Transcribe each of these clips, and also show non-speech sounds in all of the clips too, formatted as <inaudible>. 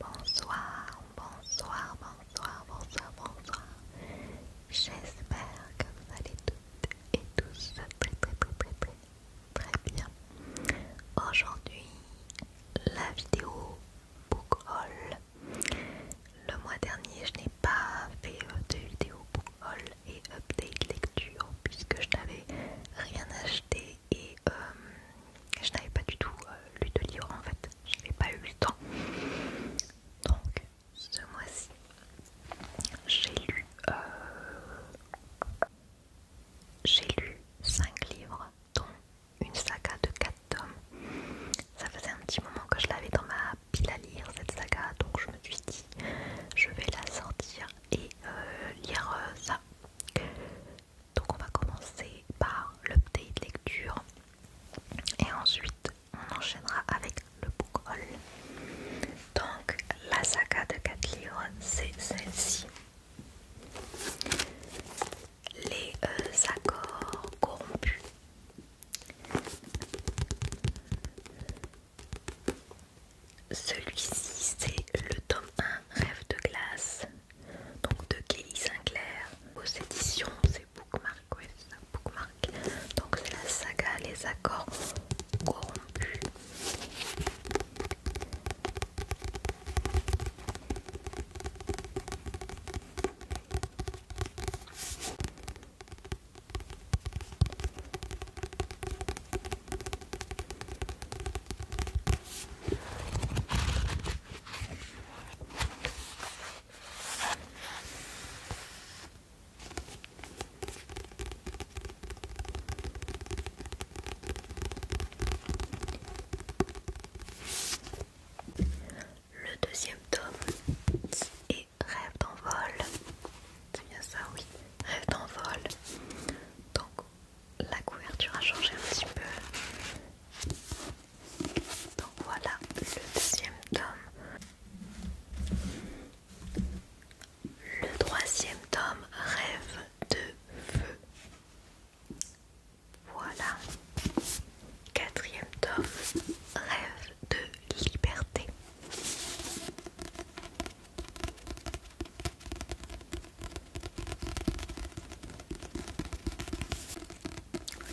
Bonsoir, bonsoir, bonsoir, bonsoir, bonsoir. J'espère que vous allez toutes et tous très très très très très, bien. Aujourd'hui, la vidéo book haul. Le mois dernier, je n'ai pas fait de vidéo book haul et update lecture puisque je n'avais rien acheté et euh, je n'avais pas du tout euh, lu de livre en fait, je j'avais pas eu le temps. Donc ce mois-ci, j'ai lu euh, j'ai lu 5 livres dont une saga de 4 tomes. Ça faisait un petit moment que je l'avais dans ma pile à lire cette saga, donc je me suis dit je vais la sortir et euh, lire ça. Donc on va commencer par l'update lecture et ensuite on enchaînera avec le book haul. Donc la saga de 4 livres c'est celle-ci. Les euh, accords corrompus. Celui-ci c'est le tome 1 Rêve de glace donc de Kelly Sinclair aux éditions c'est Bookmark ouais, ça, Bookmark donc c'est la saga Les Accords Corrompus le deuxième tome est Rêve d'envol. C'est bien ça, oui. Rêve d'envol. Donc la couverture a changé un petit peu. Donc voilà le deuxième tome. Le troisième tome, Rêve de feu. Voilà. Quatrième tome, Rêve de liberté.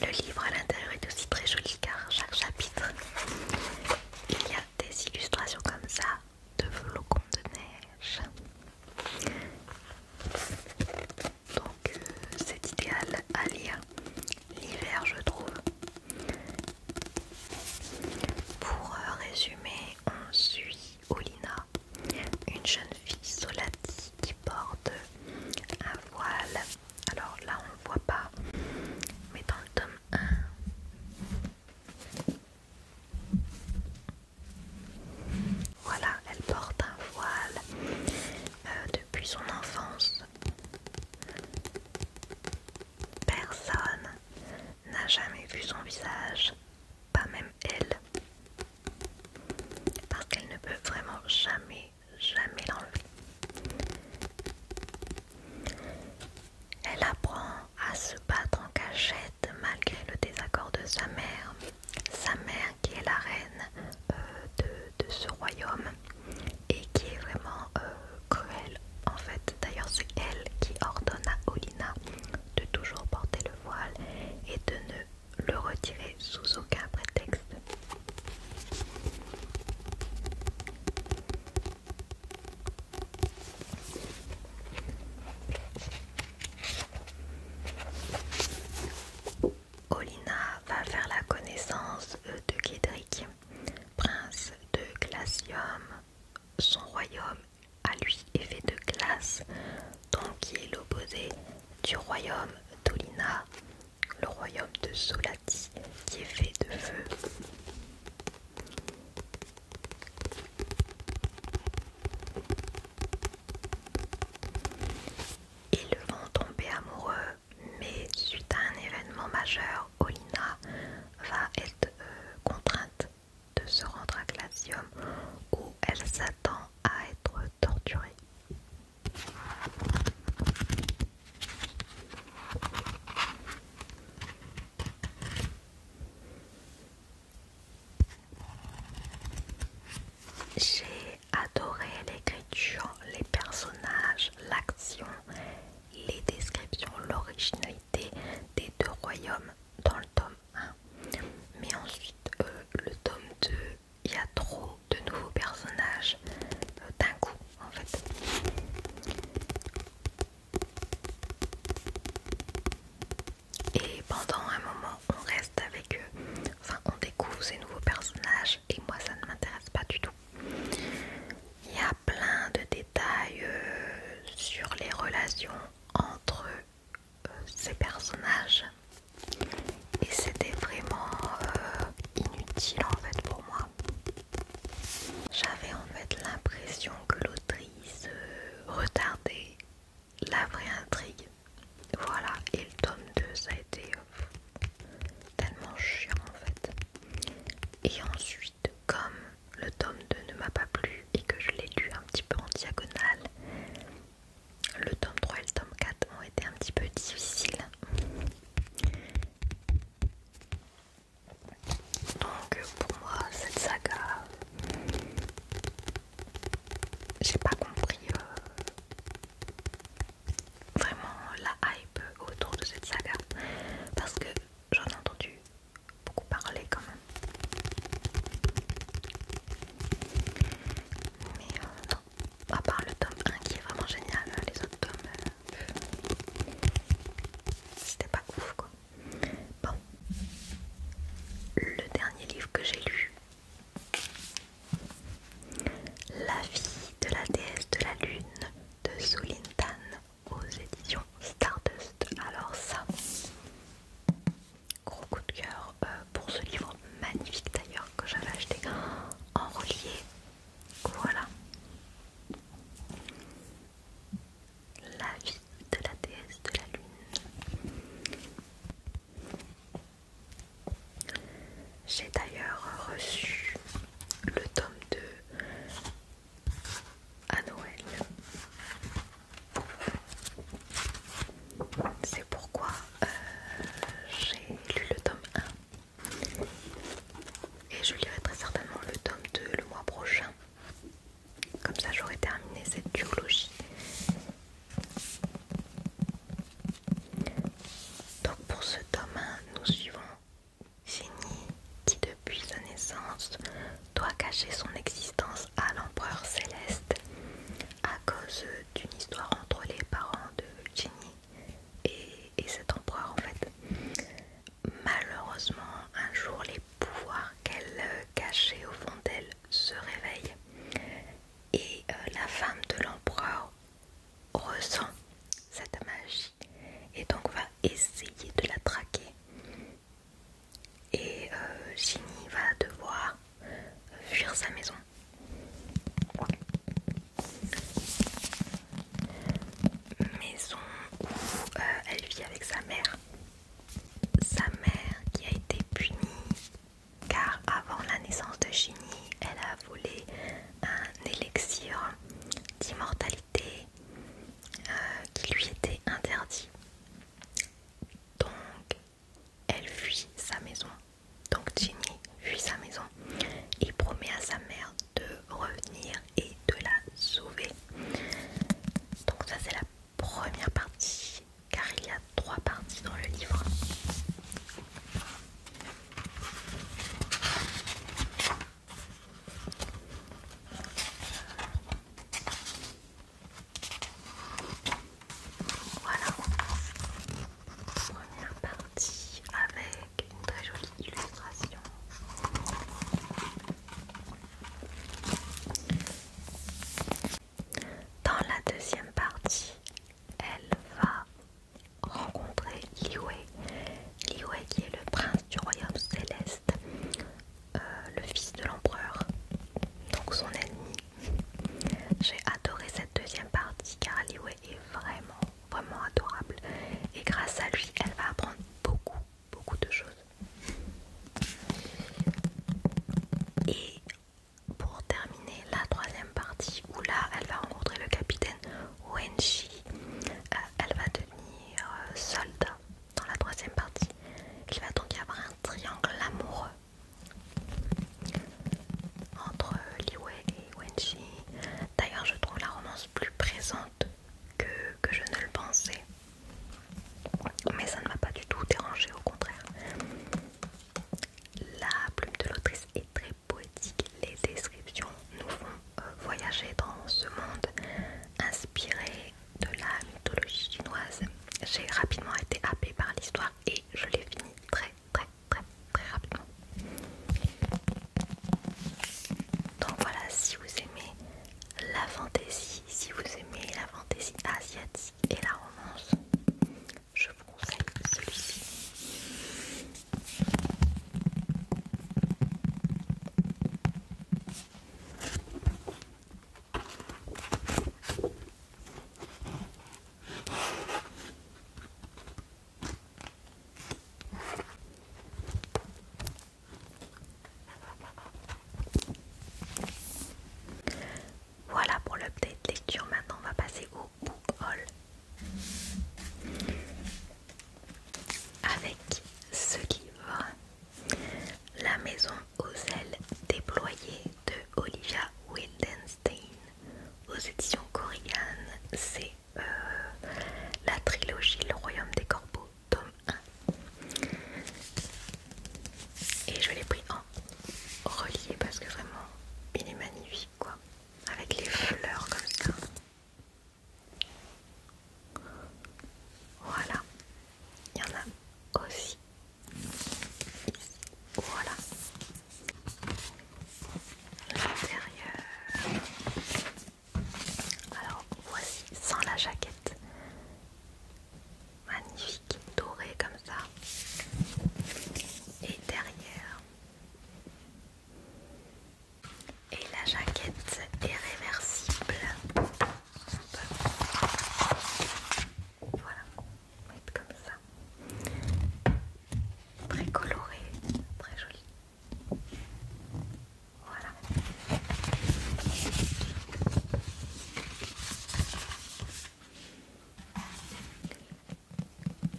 Le livre à l'intérieur est aussi très joli car chaque chapitre il y a des illustrations comme ça de flocons de neige. Donc euh, c'est idéal à lire l'hiver je trouve. Pour euh, résumer, on suit Olina, une jeune fille solati qui porte un voile. Alors là, on ne voit pas, mais dans le tome 1. Voilà, elle porte un voile euh, depuis son enfance. Personne n'a jamais vu son visage, pas même elle parce qu'elle ne peut vraiment jamais, jamais l'enlever. Elle apprend à se battre en cachette malgré le désaccord de sa mère. Sa mère qui est la reine euh, de, ce royaume et qui est vraiment euh, cruelle en fait. D'ailleurs c'est elle qui ordonne à Olina de toujours porter le voile et de ne le retirer sous aucun prétexte. Olina va faire la connaissance euh, de Kédric prince de Glacium. Son royaume à lui est fait de glace, donc il est l'opposé du royaume d'Olina, le royaume de Solati qui est fait de feu. Ils vont tomber amoureux, mais suite à un événement majeur, Olina va être euh, contrainte de se rendre à Glacium où elle s'attend à être torturée. J'ai adoré l'écriture, les personnages, l'action, les descriptions, l'originalité des deux royaumes dans le tome 1. Mais ensuite, euh, le tome 2 il y a trop de nouveaux personnages euh, d'un coup en fait. Et pendant un moment, on reste avec eux, enfin on découvre ces nouveaux personnages et moi ça ne m'intéresse pas du tout. Il y a plein de détails euh, sur les relations entre ces personnages et c'était vraiment euh, inutile en fait pour moi. J'avais en fait l'impression que l'autrice euh, retardait la vraie intrigue. Voilà, et le tome 2 ça a été euh, tellement chiant en fait. Et ensuite, comme le tome 2 ne m'a pas plu et que je l'ai lu un petit peu en diagonale, le tome 3 et le tome 4 ont été un petit peu difficiles. Donc pour moi cette saga, j'ai pas compris euh, vraiment la hype autour de cette saga parce que j'en ai entendu beaucoup parler quand même. Mais euh, à part le tome 1 qui est vraiment génial, hein, les autres tomes, euh, c'était pas ouf quoi. Bon, le dernier livre que j'ai lu, La vie de la déesse de la lune de Zulintan aux éditions Stardust. Alors ça, Gros coup de cœur euh, pour ce livre magnifique d'ailleurs que j'avais acheté en relié. Voilà. La vie de la déesse de la lune. J'ai d'ailleurs reçu le tome 2 à Noël. C'est pourquoi euh, j'ai lu le tome 1 et je lirai très certainement le tome 2 le mois prochain. Comme ça j'aurai terminé cette duologie. Donc pour ce tome 1, nous suivons Ginny qui depuis sa naissance doit cacher son existence à l'empereur céleste à cause d'une histoire entre les parents de Ginny et, cet empereur en fait. Malheureusement, un jour les pouvoirs qu'elle euh, cachait au fond d'elle se réveillent et euh, la femme de l'empereur ressent cette magie et donc va essayer de la traquer. Et euh, Ginny va devoir fuir sa maison. Maison où euh, elle vit avec sa mère. Sa mère qui a été punie car avant la naissance de Ginny elle a volé un élixir d'immortalité euh, qui lui était interdit. Donc elle fuit sa maison. Donc Ginny fuit sa maison Il promet à sa mère de revenir et de la sauver. Donc ça c'est la première partie car il y a trois parties dans le livre. Voilà. Première partie avec une très jolie illustration. Dans la deuxième partie, elle va rencontrer Liwei. Liwei qui est le prince du royaume céleste, euh, le fils de l'empereur, donc son ennemi. J'ai adoré cette deuxième partie car Liwei est vraiment, vraiment adorable. Et grâce à lui, elle va apprendre beaucoup, beaucoup de choses. Et pour terminer la troisième partie où là elle va rencontrer le capitaine Wenshi, euh, elle va devenir euh, soldat dans la troisième partie. Il va donc y avoir un triangle amoureux entre Liwei et Wenxi. D'ailleurs, je trouve la romance plus présente que, je ne le pensais. Mais ça ne m'a pas du tout dérangé, au contraire. La plume de l'autrice est très poétique. Les descriptions nous font euh, voyager dans ce monde inspiré de la mythologie chinoise. J'ai rapidement été happée par l'histoire et je l'ai fini très très très très rapidement. Donc voilà, si vous aimez la fantaisie, si vous aimez la fantaisie asiatique et la romance, je vous conseille celui-ci. Voilà pour l'update lecture. Maintenant, on va passer au book haul avec ce livre, La maison aux ailes déployées de Olivia Wildenstein aux éditions Corrigan. C'est euh, la trilogie Le Royaume des Corbeaux, tome 1. Et je l'ai pris en relié parce que vraiment, il est magnifique quoi. Avec les fleurs comme ça. Voilà. Il y en a aussi voilà. L'intérieur. Alors voici sans la jaquette. Magnifique, doré comme ça. Et derrière. Et la jaquette est réversible. Voilà comme ça. Très coloré, très joli. Voilà.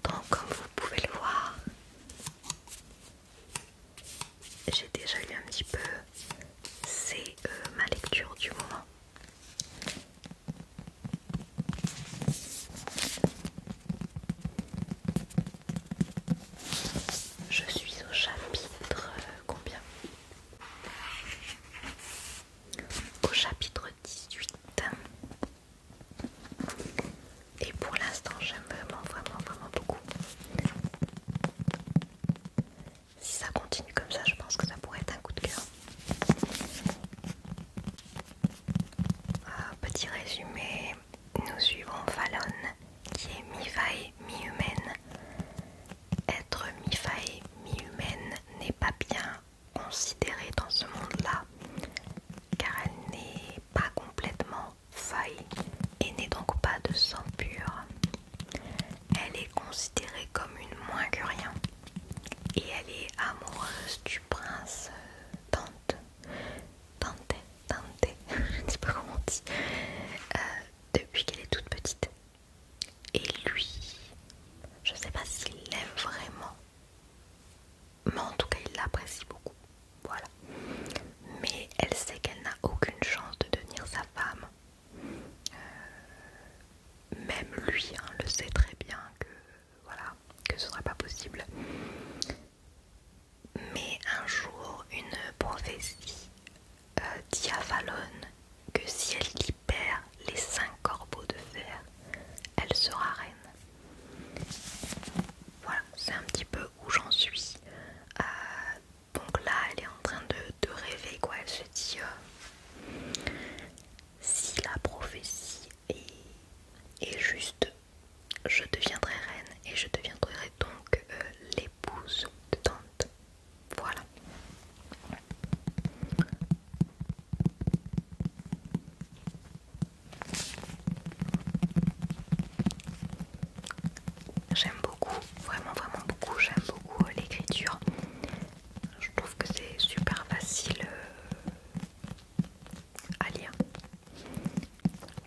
Donc comme vous pouvez le voir, j'ai déjà lu un petit peu, c'est ma lecture du moment. Je suis au chapitre euh, combien Au chapitre 18. Et pour l'instant, j'aime vraiment, vraiment, vraiment beaucoup. Si ça continue comme ça, je pense que ça pourrait être un coup de cœur petit résumé, nous suivons Fallon qui est mi-faille, mi-humaine. Être mi-faille, mi-humaine n'est pas bien considérée dans ce monde-là car elle n'est pas complètement faille et n'est donc pas de sang pur. Elle est considérée comme une moins que rien et elle est amoureuse du prince tante euh, tante tante <laughs> je ne sais pas comment on dit, euh, depuis qu'elle est toute petite. Et lui, je ne sais pas s'il l'aime vraiment, mais en tout cas il l'apprécie beaucoup. Voilà. Mais elle sait qu'elle n'a aucune chance de devenir sa femme. Euh, même lui hein, le sait très bien que voilà, que ce sera pas possible. Mais un jour, une prophétie euh, dit à que si elle libère les cinq corbeaux de fer, elle sera reine. Voilà, c'est un petit peu où j'en suis. Euh, donc là, elle est en train de, rêver, quoi. Elle se dit euh, si la prophétie et, juste je deviendrai reine et je deviendrai donc euh, l'épouse de Tante. Voilà. J'aime beaucoup, vraiment vraiment beaucoup, j'aime beaucoup euh, l'écriture. Je trouve que c'est super facile euh, lire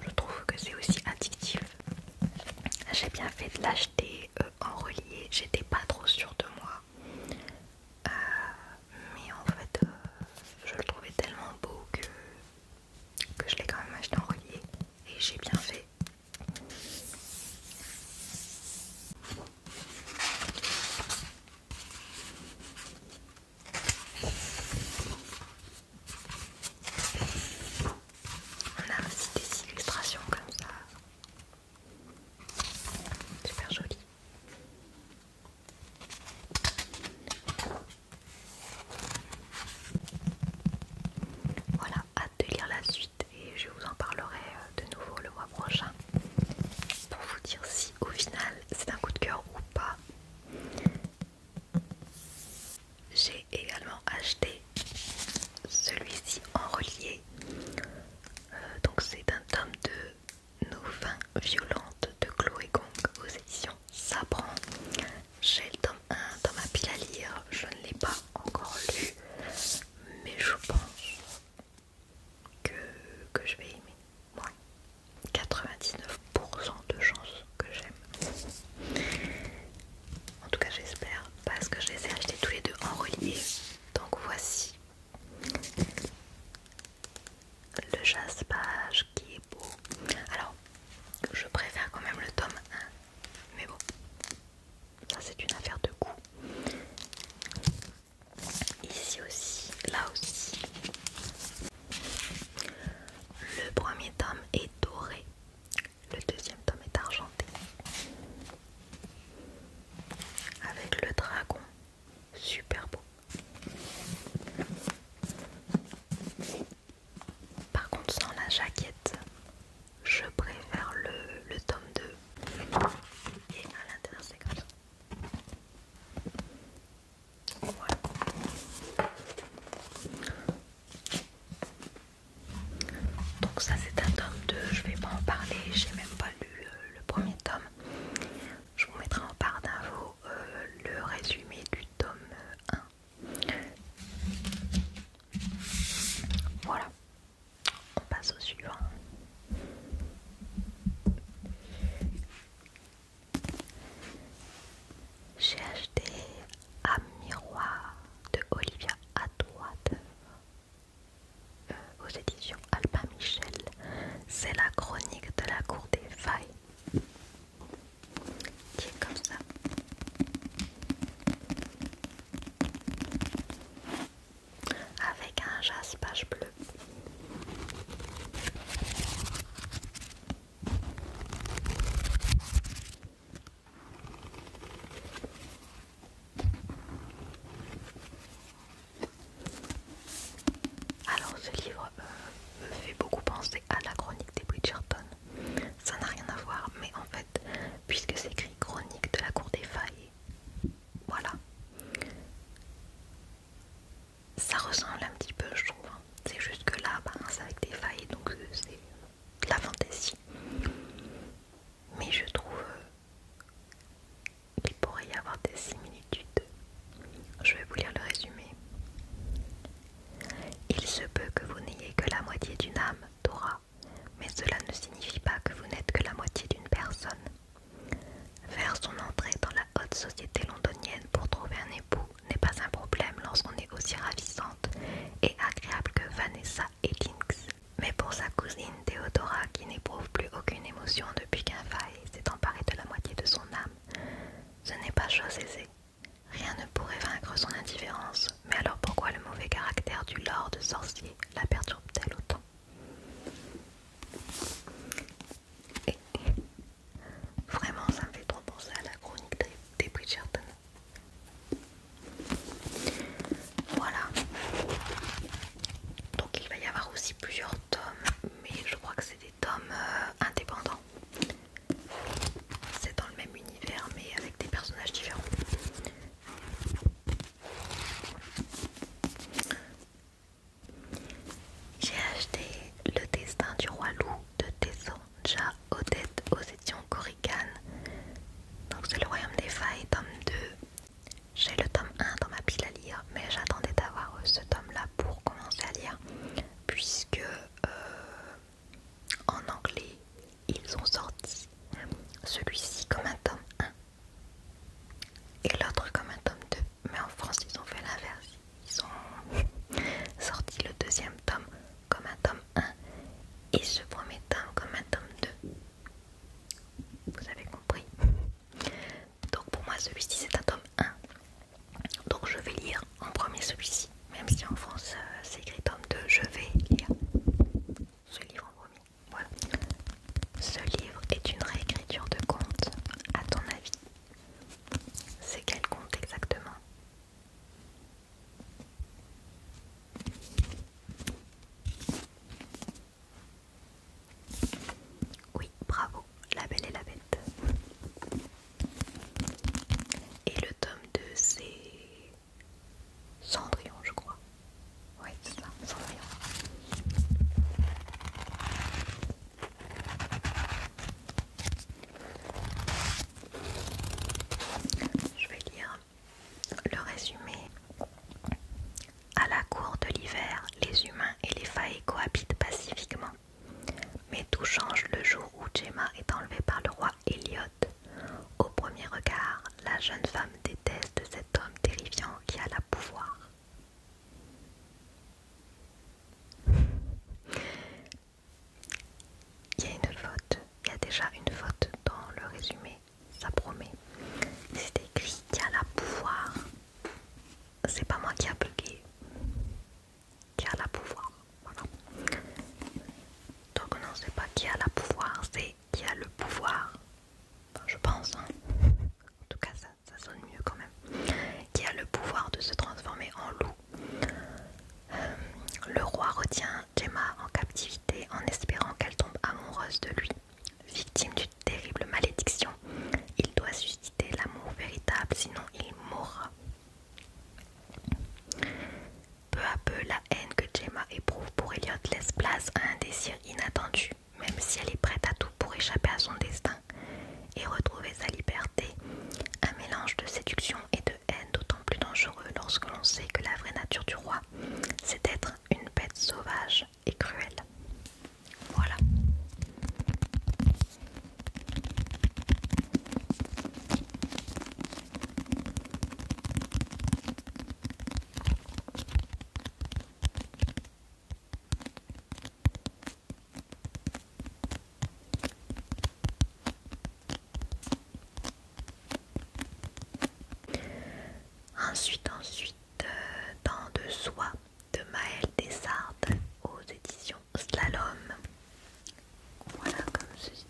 Je trouve que c'est aussi addictif. J'ai bien fait de l'acheter euh, en relié, j'étais pas trop sûre de moi. Euh, mais en fait, euh, je le trouvais tellement beau que, que je l'ai quand même acheté en relié et j'ai bien fait. On a aussi des illustrations comme ça. Super jolies. Voilà, hâte de lire la suite et je vous en parlerai euh, de nouveau le mois prochain pour vous dire si au final c'est un coup de cœur ou pas. J'ai également acheté celui-ci en relié. Euh, donc c'est un tome de Nos vins violentes de Chloé Gong aux éditions Sabran. J'ai le tome 1, dans ma pile à lire, je ne l'ai pas encore lu, mais je pense que, que je vais aimer. Moi, 99% de chance que j'aime. En tout cas, j'espère, parce que je les ai achetés tous les deux en relié. Donc voici le jaspage qui est beau. Alors, je préfère quand même le tome 1, mais bon, ça c'est une affaire de goût. Ici aussi, là aussi. Le premier tome est doré, le deuxième tome est argenté. Avec le dragon, super beau. Par contre, sans la jaquette, je préfère le, tome 2. Et à l'intérieur, c'est comme ça. Donc ça c'est un tome 2, je vais pas en parler, j'ai même pas lu euh, le premier tome. Je vous mettrai en part d'infos euh, le résumé du tome 1. Voilà, on passe au suivant. J'ai acheté un miroir de Olivia à droite euh, aux éditions Alpha Michel. C'est la chronique de la cour des failles. Qui est comme ça avec un jaspage bleu. Alors ce livre euh, me fait beaucoup penser à la chronique des Bridgerton. Ça n'a rien à voir, mais en fait, puisque c'est écrit chronique de la cour des failles, voilà ça ressemble un petit peu, je trouve. Hein. C'est juste que là, bah, c'est avec des failles, donc euh, c'est la fantaisie. Mais je trouve euh, qu'il pourrait y avoir des similitudes. Je vais vous lire le résumé. Il se peut que vous n'ayez que la moitié d'une âme, Dora, mais cela ne signifie pas que vous n'êtes que la moitié d'une personne. Faire son entrée dans la haute société londonienne pour trouver un époux n'est pas un problème lorsqu'on est aussi ravissante et agréable que Vanessa Lynx. Mais pour sa cousine Théodora, qui n'éprouve plus aucune émotion depuis qu'un faille s'est emparé de la moitié de son âme, ce n'est pas chose aisée. Rien ne pourrait vaincre son indifférence, mais alors pourquoi le mauvais caractère du lord sorcier la perturbe-t-elle autant vraiment, ça me fait trop penser à la chronique des Bridgerton. Voilà. Donc il va y avoir aussi plusieurs tomes, mais je crois que c'est des tomes euh, indépendants. C'est dans le même univers, mais avec des personnages différents. J'ai acheté Le destin du roi loup de Tessonja, Odette aux éditions Corrigan. Donc c'est le royaume des failles, tome 2. J'ai le tome 1 dans ma pile à lire, mais j'attendais d'avoir euh, ce tome-là pour commencer à lire, puisque euh, en anglais, ils ont sorti celui-ci comme un tome 1 et l'autre comme un tome 2. Mais en France, ils ont fait l'inverse. Ils ont <laughs> sorti le deuxième tome comme un tome 1 et ce premier tome comme un tome 2. Vous avez compris Donc pour moi, celui-ci, c'est un tome 1. Donc je vais lire en premier celui-ci. Même si en France, euh, c'est écrit tome 2, je vais lire ce livre en premier. Voilà. Ce livre est une réécriture de conte, à ton avis. C'est quel conte exactement Oui, bravo, La Belle et la Bête. Et le tome 2, c'est Cendrillon, je crois. Oui, c'est ça, Cendrillon. Je vais lire le résumé. À la cour de l'hiver, les humains et les failles cohabitent pacifiquement. Mais tout change le jour où Gemma est enlevée par le roi Elliot. Au premier regard, la jeune femme déteste cet homme terrifiant qui a la pouvoir. Il y a une faute, il y a déjà une faute dans le résumé, ça promet. C'est écrit a qui la pouvoir. C'est pas moi qui a bugué. la pouvoir. Voilà. Donc non, c'est pas qui a la pouvoir, c'est qui a le pouvoir. je pense. Hein en tout cas ça, sonne mieux quand même, qui a le pouvoir de se transformer en loup. Euh, le roi retient Gemma en captivité en espérant qu'elle tombe amoureuse de lui. Victime d'une terrible malédiction, il doit susciter l'amour véritable, sinon il mourra. Peu à peu, la haine que Gemma éprouve pour Elliot laisse place à un désir inattendu même si elle est prête à tout pour échapper à son destin et retrouver sa liberté, un mélange de séduction et de haine d'autant plus dangereux lorsque l'on sait que la vraie nature du roi, c'est d'être une bête sauvage et cruelle. Voilà. Ensuite, ensuite, temps euh, de soie de Maëlle Desardes aux éditions Slalom. Voilà comme ceci.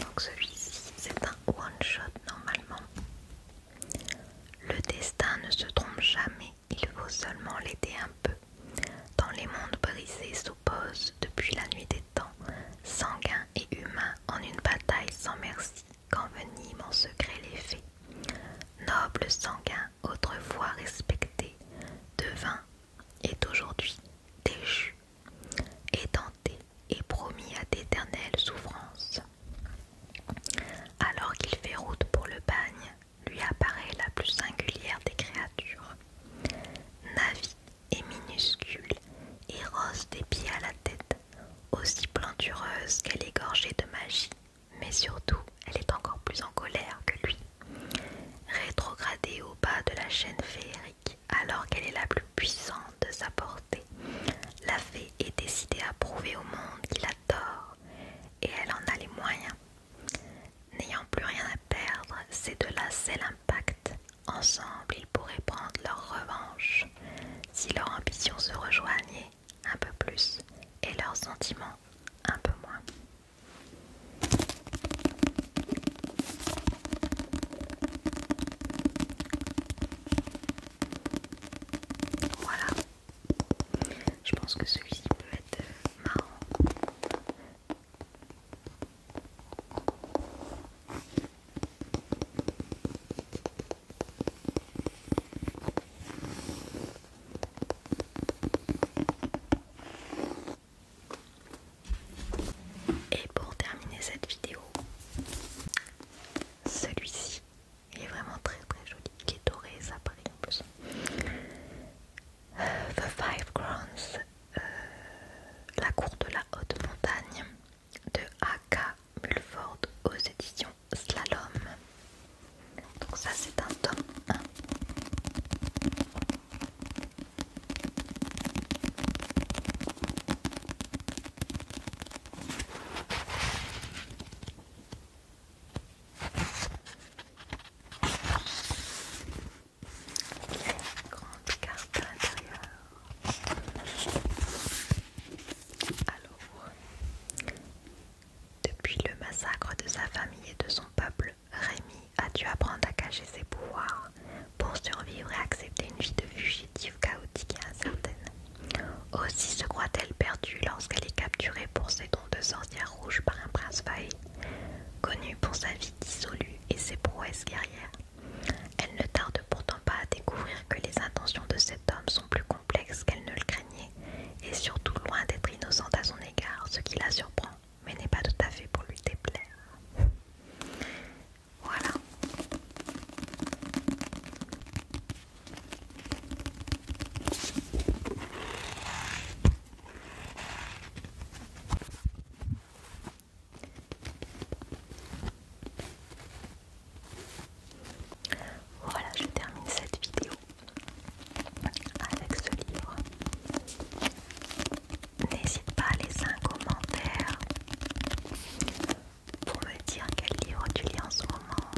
Donc celui-ci, c'est un one-shot normalement. Le destin ne se trompe jamais, il faut seulement l'aider un peu. Dans les mondes brisés s'opposent depuis la nuit des temps, sanguins et humain en une bataille sans merci qu'enveniment en secret les faits, Noble sanguin, autrefois respecté, devint, est aujourd'hui déchu, tenté et promis à d'éternelles souffrances. Alors qu'il fait route pour le bagne, lui apparaît la plus singulière des créatures. navie et minuscule et rose des pieds à la tête aussi plantureuse qu'elle est gorgée de magie, mais surtout elle est encore plus en colère que lui. Rétrogradée au bas de la chaîne féerique, alors qu'elle est la plus puissante de sa portée, la fée est décidée à prouver au monde qu'il a tort, et elle en a les moyens. N'ayant plus rien à perdre, c'est de là c'est l'impact. Ensemble, ils pourraient prendre leur revanche si leurs ambitions se rejoignait un peu plus et leurs sentiments un peu moins. Voilà, je pense que celui-ci peut être marrant. Et pour terminer cette vidéo, celui-ci, est vraiment très très joli, Qui est doré ça paraît en plus. Euh, the Five Crowns euh, la cour de la haute montagne, de A.K. Mulford aux éditions Slalom. Donc ça c'est un tome 1. grande carte alors, depuis le massacre de sa famille et de son peuple, Rémi a dû apprendre à cacher ses pouvoirs pour survivre et accepter une vie de fugitive chaotique et incertaine. Aussi se croit-elle perdue lorsqu'elle est capturée pour ses dons de sorcière rouge par un prince faillé, connu pour sa vie dissolue et ses prouesses guerrières. Elle ne tarde pourtant pas à découvrir que les intentions de cet homme sont plus complexes qu'elle ne le craignait, et surtout loin d'être innocente à son égard, ce qui la surprend, mais n'est pas tout à fait pour lui déplaire. Voilà. Voilà, je termine cette vidéo avec ce livre. N'hésite pas à laisser un commentaire pour me dire quel livre tu lis en ce moment.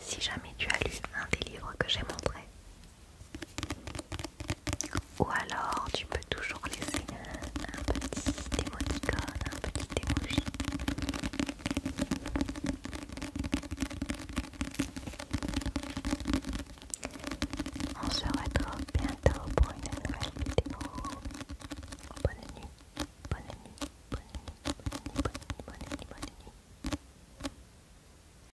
Si jamais tu as lu un des livres que j'ai montré, ou alors tu peux toujours laisser un, petit émoticône, un petit émoji. On se retrouve bientôt pour une nouvelle vidéo. bonne nuit, bonne nuit, bonne nuit, bonne nuit, bonne nuit. Bonne nuit, bonne nuit.